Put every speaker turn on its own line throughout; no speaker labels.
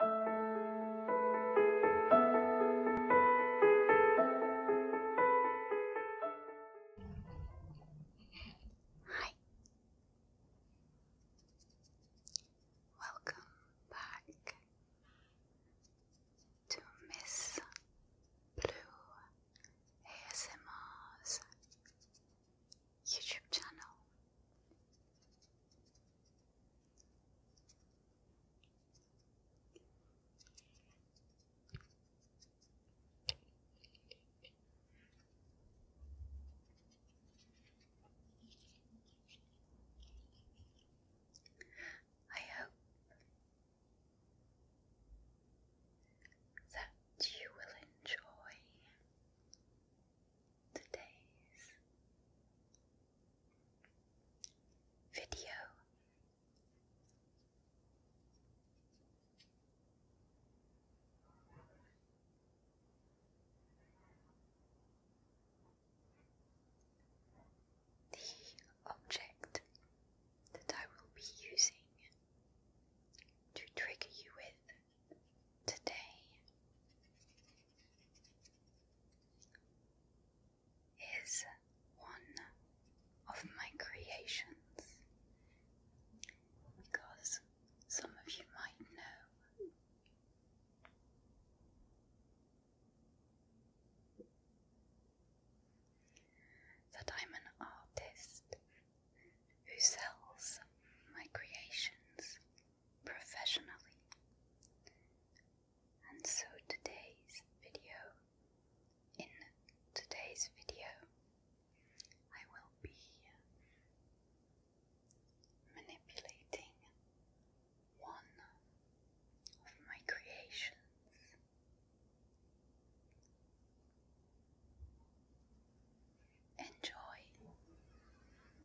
Hi. Welcome back to Miss Blue ASMR's YouTube channel. I hope that you will enjoy the Video. The object that I will be using to trigger you with today. Is one of my creations because some of you might know that I'm an artist who sells my creations professionally. And so today's video, in today's video, I will be manipulating one of my creations. Enjoy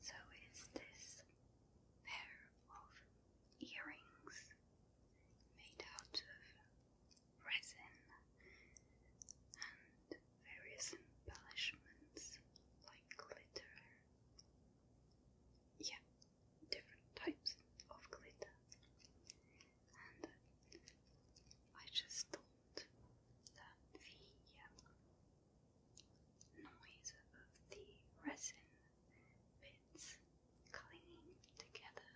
So is this pair of earrings made out of resin and various embellishments like glitter. Yeah, different types of glitter. And I just thought the noise of the resin bits clinging together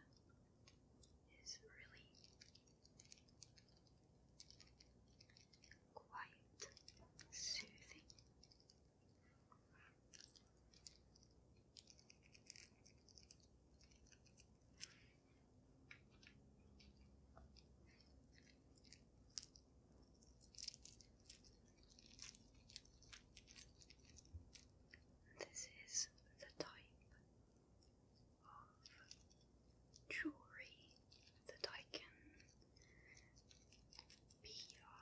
is really quite soothing. This is the type of jewelry that I can be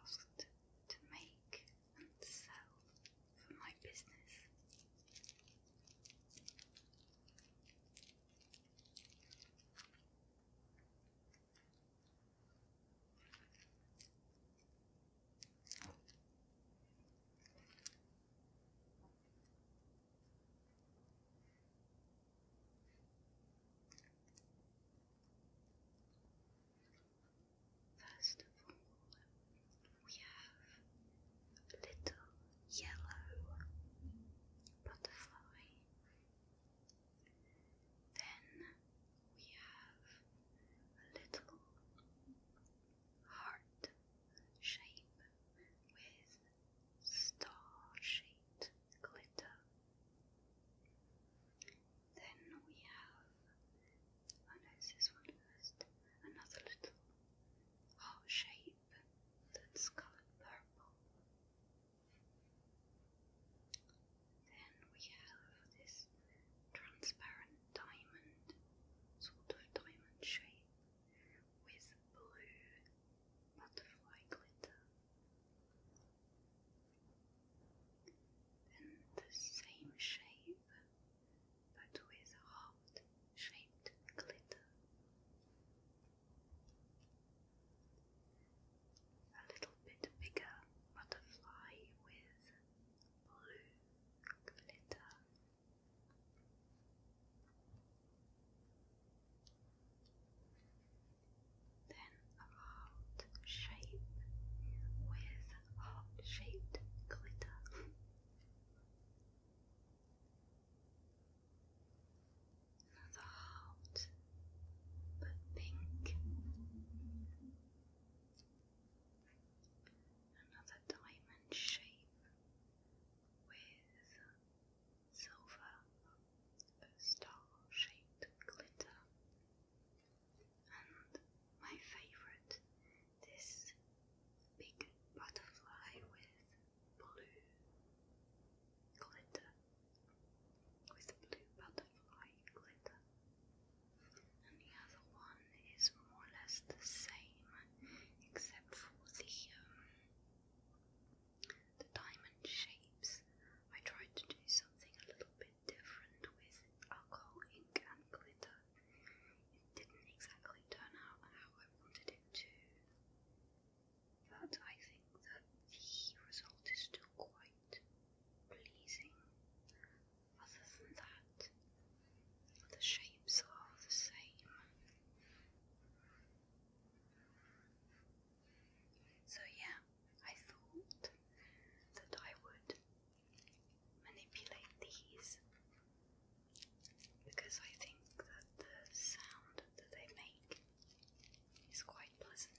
asked to make and sell for my business. First of all, we have a little yellow butterfly. Then we have little heart shape with star shaped glitter. Then we have, oh no, it's this one first, another little heart shape shape that's colored purple. Then we have this transparent diamond, sort of diamond shape, with blue butterfly glitter. Then the same shape but with heart-shaped glitter. A little bit bigger butterfly with blue glitter. Then heart shape with heart shaped glitter. Another heart, but pink. Another diamond shape with silver star-shaped glitter. And my favorite, this big butterfly with blue glitter with blue butterfly glitter. And the other one is more or less the same, except for the um, the diamond shapes. I tried to do something a little bit different with alcohol ink and glitter didn't exactly turn out how I wanted it to. But I think that the result is still quite pleasing. Other than that, the shapes are the same. So, yeah, I thought that I would manipulate these because I think that the sound that they make is quite pleasant.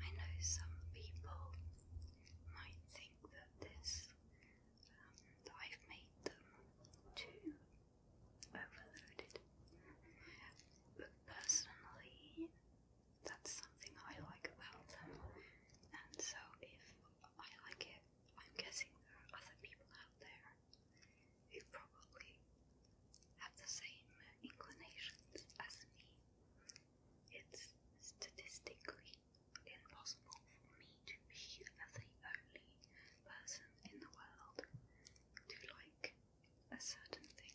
I know some people might think that this um, I've made them too overloaded, but personally, that's something I like about them. And so, if I like it, I'm guessing there are other people out there who probably have the same inclinations as me. It's statistically impossible for me to be the only person in the world to like a certain thing.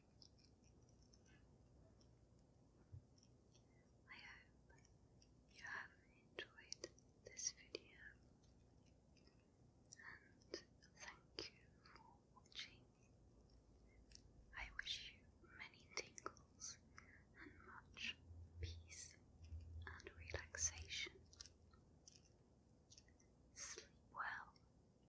I hope you have enjoyed this video and thank you for watching. I wish you many tingles and much peace and relaxation. Sleep well